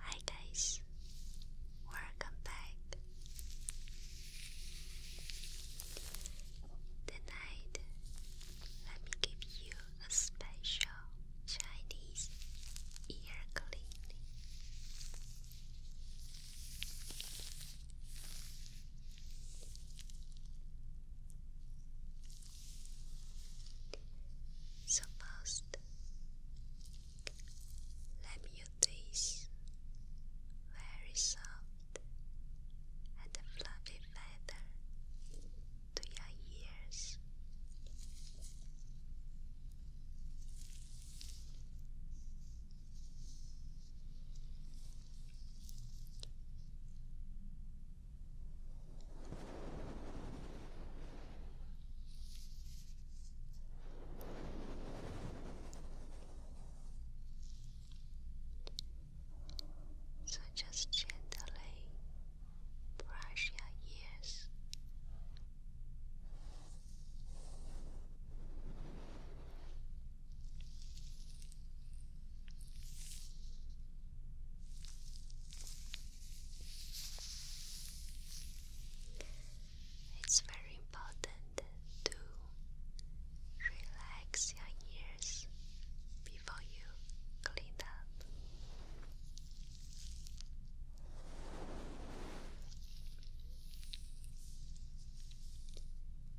Hi guys, welcome back. Tonight, let me give you a special Chinese ear cleaning. So first, let me use very soft and fluffy feather to your ears. So just gently brush your ears. It's very important to relax your ears before you clean up.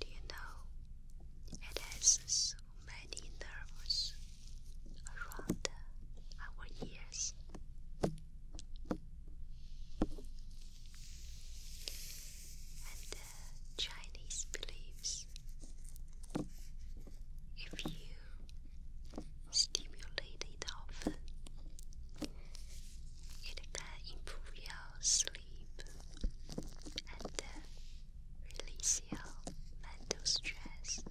Do you know it has so many nerves around our ears? And uh, Chinese believes if you stimulate it often, it can improve your sleep and uh, release your mental stress.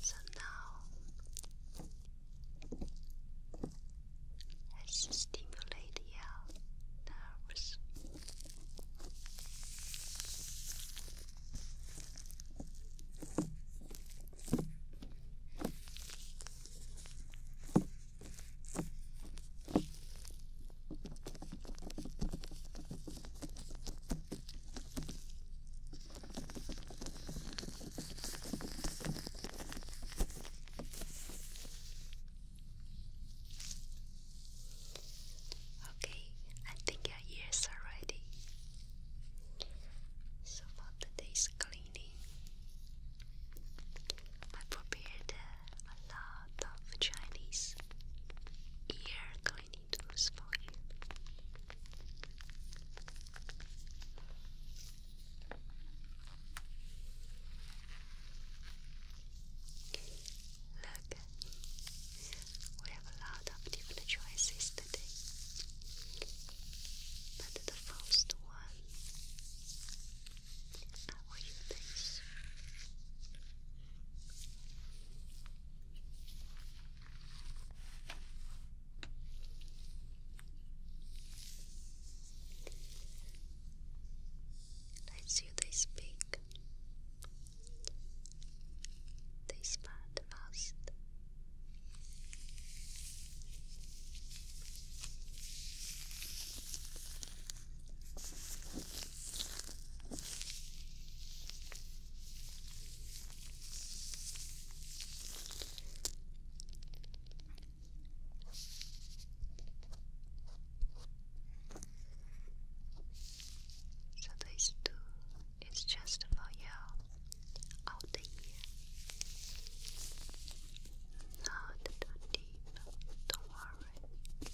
So now has stimulated your nerves. Okay, I think your ears are ready. So for today's cleaning, I prepared a lot of Chinese ear cleaning needles for Look, we have a lot of different choices today, but the first one I will use this. Let's use this they this part so these two is just for you all the Not deep, don't worry.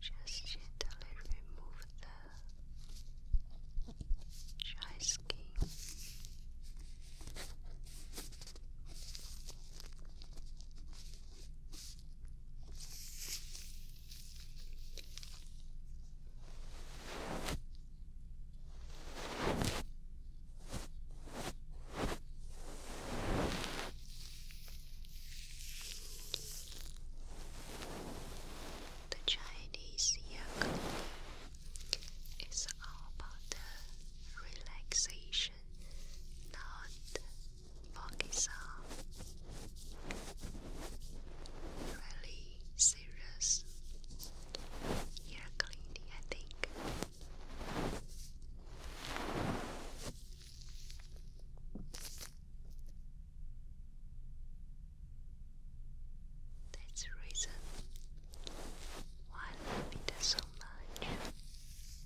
Just gently remove the dry skin. The Chinese yoga is all about the relaxation, not foggy sound, really serious ear cleaning, I think. That's reason why I love it so much.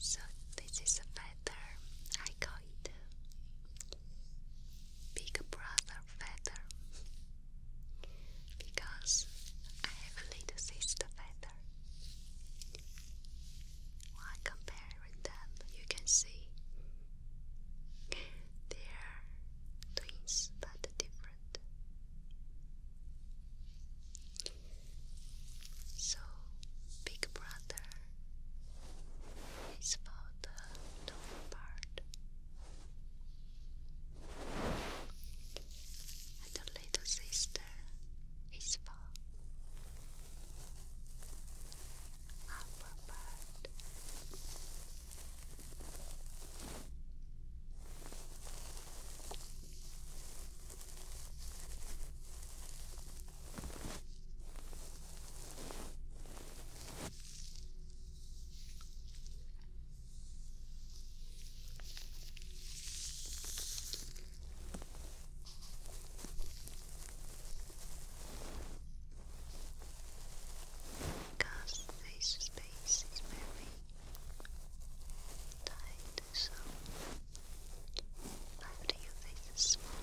So this is a feather. I call it Big Brother feather because I have a little sister feather. While comparing them, you can see they are twins but different different. So, Big Brother is about the lower part, and the little sister is for upper part. Because this space is tight, so after your face is smaller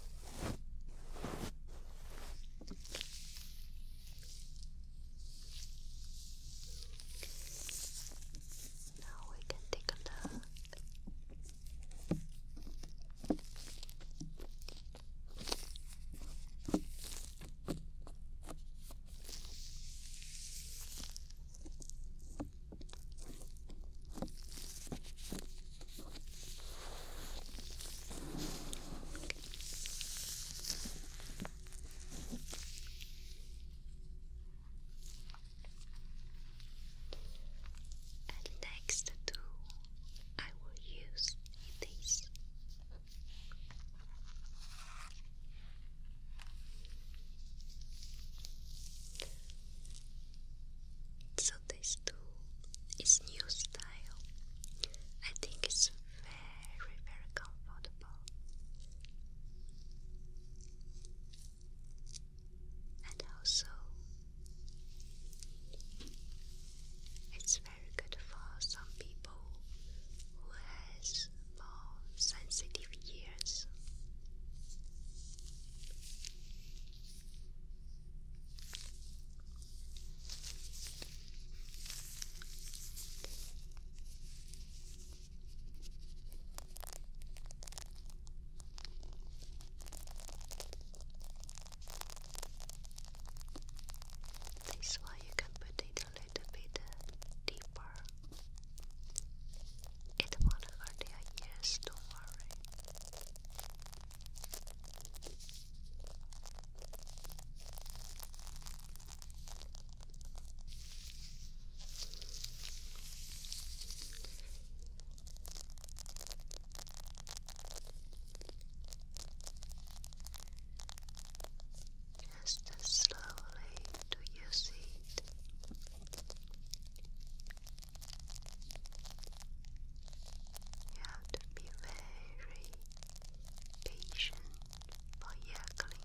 Okay. Now we can take a look. Okay. And next tool I will use this. So this too. It's new style. I think it's very, very comfortable. And also, it's very good for some people who has more sensitive ears. This one you can put it a little bit uh, deeper. It won't hurt your ears, do worry. Just slowly to your seat. You have to be very patient for ear cleaning.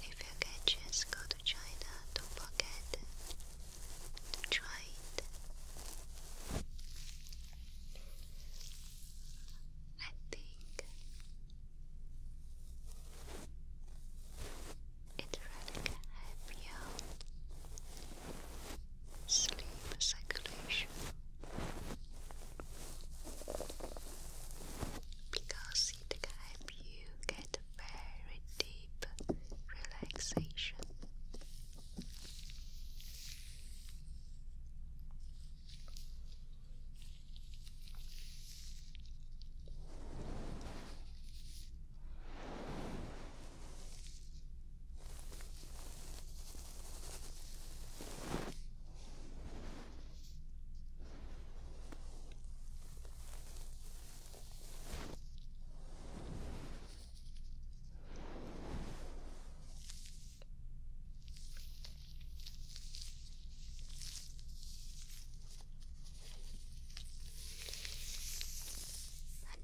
If you get a chance, go to China. Don't forget to try it. I think it really help your sleep circulation because it can help you get very deep relaxation. And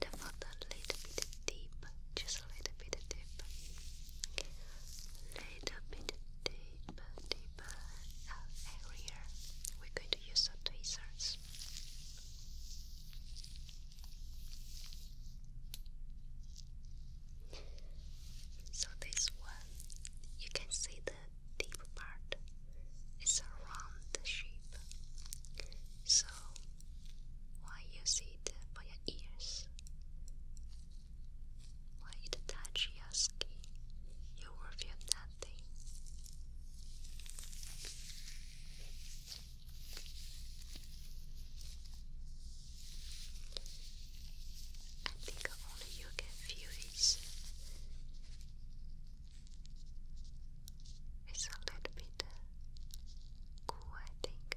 the a little bit deep, just a little bit deep. Little bit deep, deep, shape area, we're going to use some tweezers. So this one, you can see the deep part. It's a round shape. So why use it for your ears? Why it touch your skin? You will feel that nothing. I think only you can feel it. It's a little bit cool, I think.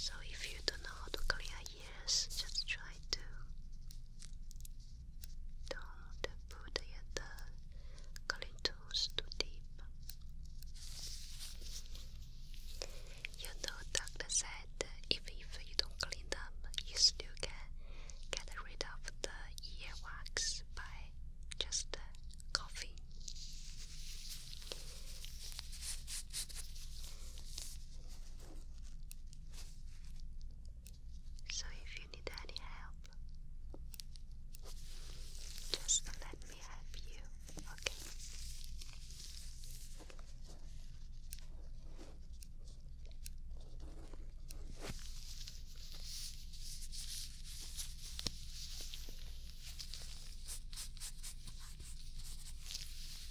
So, if you don't know how to clear Yes, just try to don't put the curly tools too deep. You know, doctor said if, if you don't clean them, you still can get rid of the earwax by just coughing. So if you need any help, just let me help you, okay?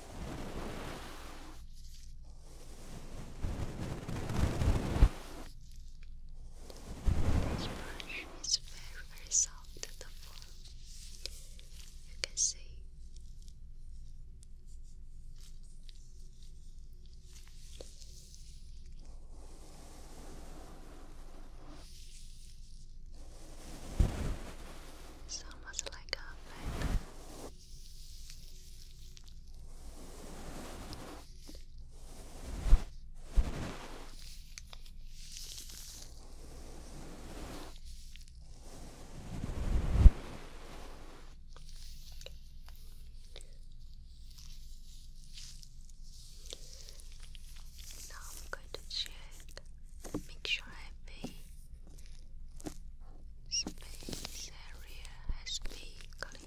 This brush is very, very soft at the form. You can see. almost like a fan. Now I'm going to check, make sure I pay Space area has been cleaned.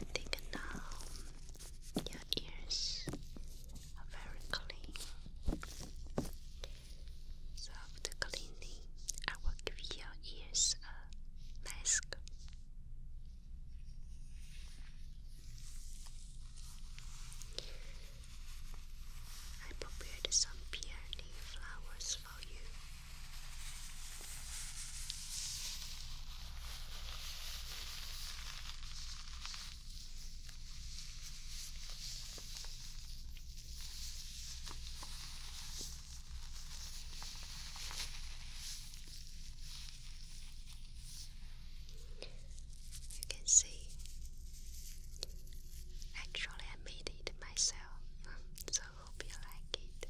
I think now your ears are very clean. after cleaning, I will give your ears a mask. I prepared some peony flowers for you. You can see, actually, I made it myself, so hope you like it.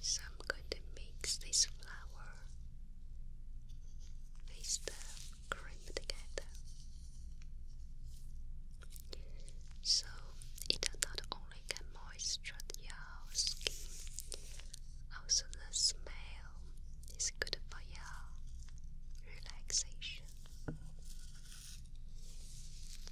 So I'm going to mix this flour with the cream together. So it not only can moisture your skin, also the smell is good for your relaxation.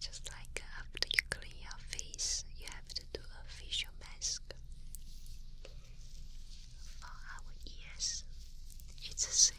Just like after you clean your face, you have to do a facial mask. For our ears, it's the same.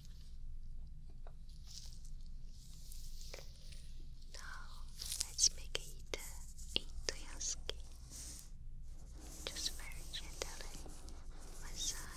Now let's make it into your skin. Just very gently massage.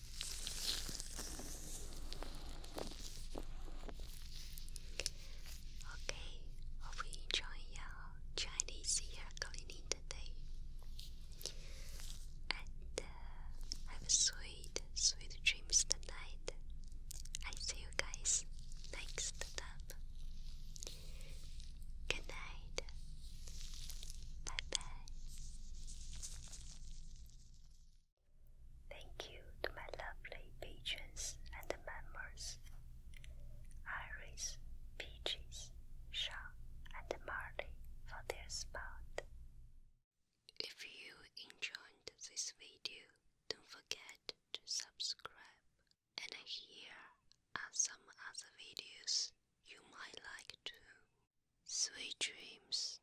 Okay, hope you enjoy your Chinese hair cleaning today. And uh, have a sweet, sweet dreams tonight. I see you guys next time. Good night. Bye bye. Thank you to my lovely patrons and members Iris, Peaches, Shaw, and Marley for their support. If you enjoyed this video, don't forget to subscribe. And here are some other videos you might like too. Sweet dreams.